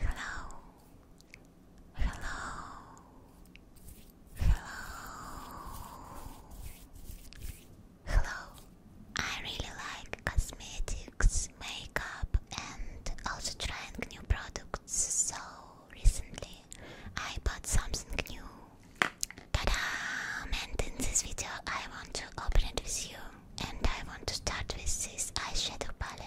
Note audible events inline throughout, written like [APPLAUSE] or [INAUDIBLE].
Hello. Hello. Hello. Hello. I really like cosmetics, makeup and also trying new products so recently. I bought something new. ta And in this video, I want to open it with you. And I want to start with this eyeshadow palette.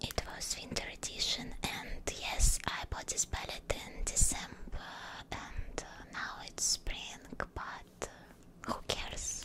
It was winter edition, and yes, I bought this palette in December, and uh, now it's spring, but uh, who cares?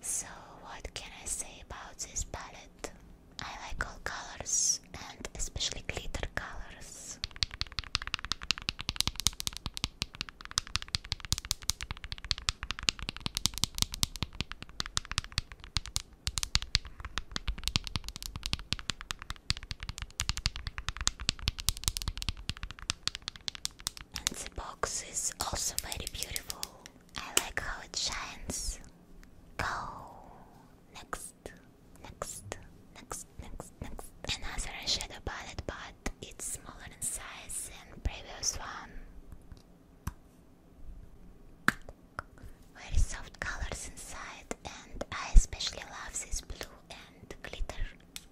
So, what can I say about this palette? I like all colors and especially glitter colors. And the box is also very beautiful. I like how it shines. Go next, next, next, next, next. Another eyeshadow palette, but it's smaller in size than previous one. Very soft colors inside, and I especially love this blue and glitter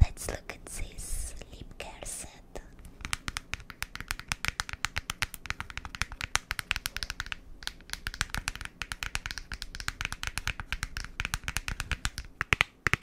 Let's look at this sleep care set.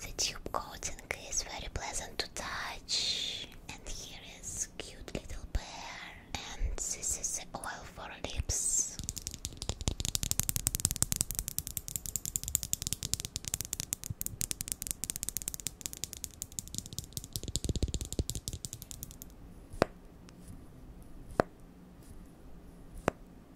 The tube coating is very pleasant to touch. And here is cute little bear. And this is the oil for lips.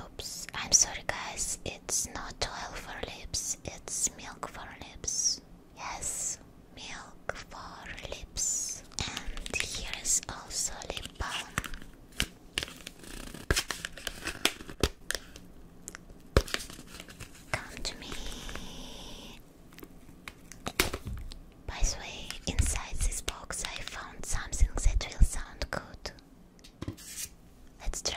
Oops, I'm sorry, guys. It's not oil for lips, it's milk for lips. Yes, milk for lips. And here is also lip balm. Come to me. By the way, inside this box I found something that will sound good. Let's try.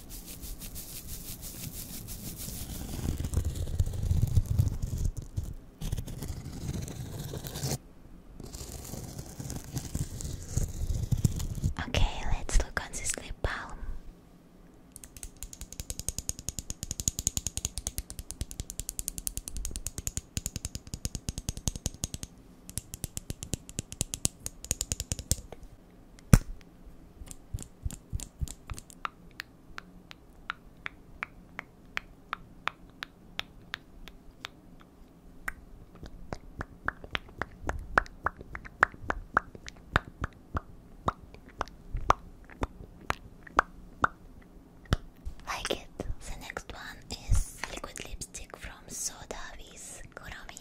Okay, let's look on this lip balm. Like it. The next one is liquid lipstick from Soda with Kurami.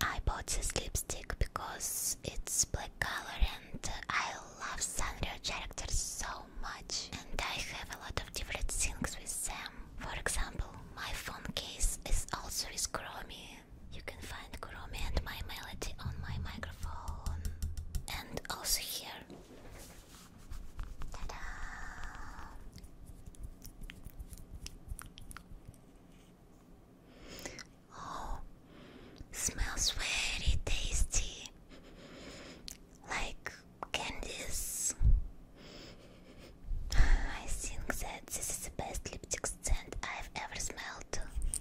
I bought this lipstick because it's black color and I love Sanrio characters so much and I have a lot of different things with them. For example, my phone case is also with Chromie you can find Kurumi and my melody on my microphone. And also here. Oh, smells very tasty, like candies. [LAUGHS] I think that this is the best lipstick scent I've ever smelled.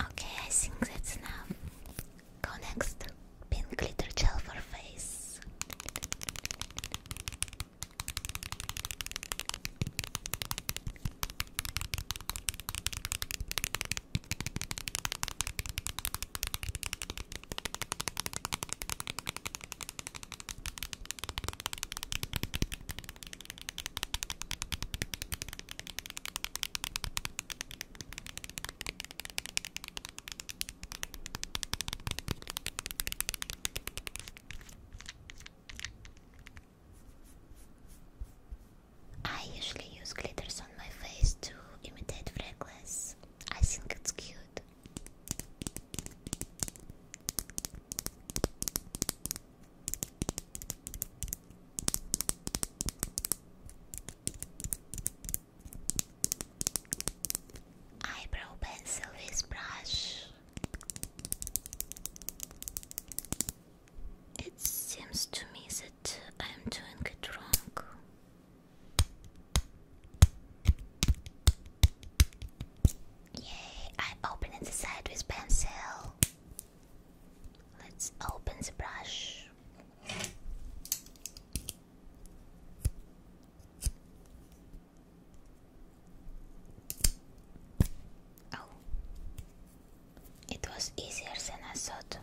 Okay, I think that's enough. next. Pink glitter gel for face. I usually use glitters on my face to imitate freckles. I think it's cute. Eyebrow pencil with brush. It seems to me that I'm doing it wrong. Yay, I open it inside with pencil. Let's open the brush. Oh, it was easier than I thought.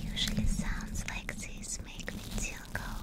Usually sounds like this make me tingle.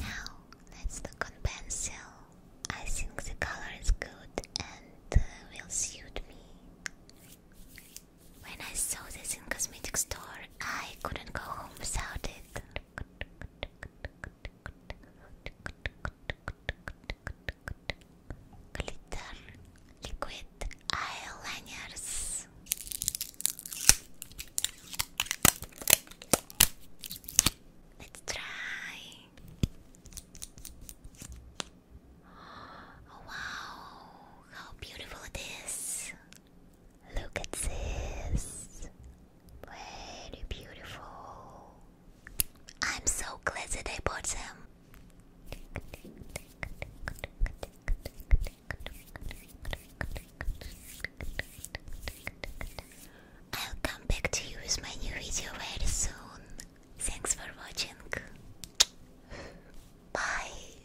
Now let's look pencil. I think the color is good and uh, will suit me. When I saw this in cosmetic store, I couldn't go home without it. Glitter liquid eyeliners. Let's try. Oh, wow, how beautiful it is! Look at this. Very beautiful. I'm so glad that I bought them. I'll come back to you with my new video very soon. Thanks for watching. Bye.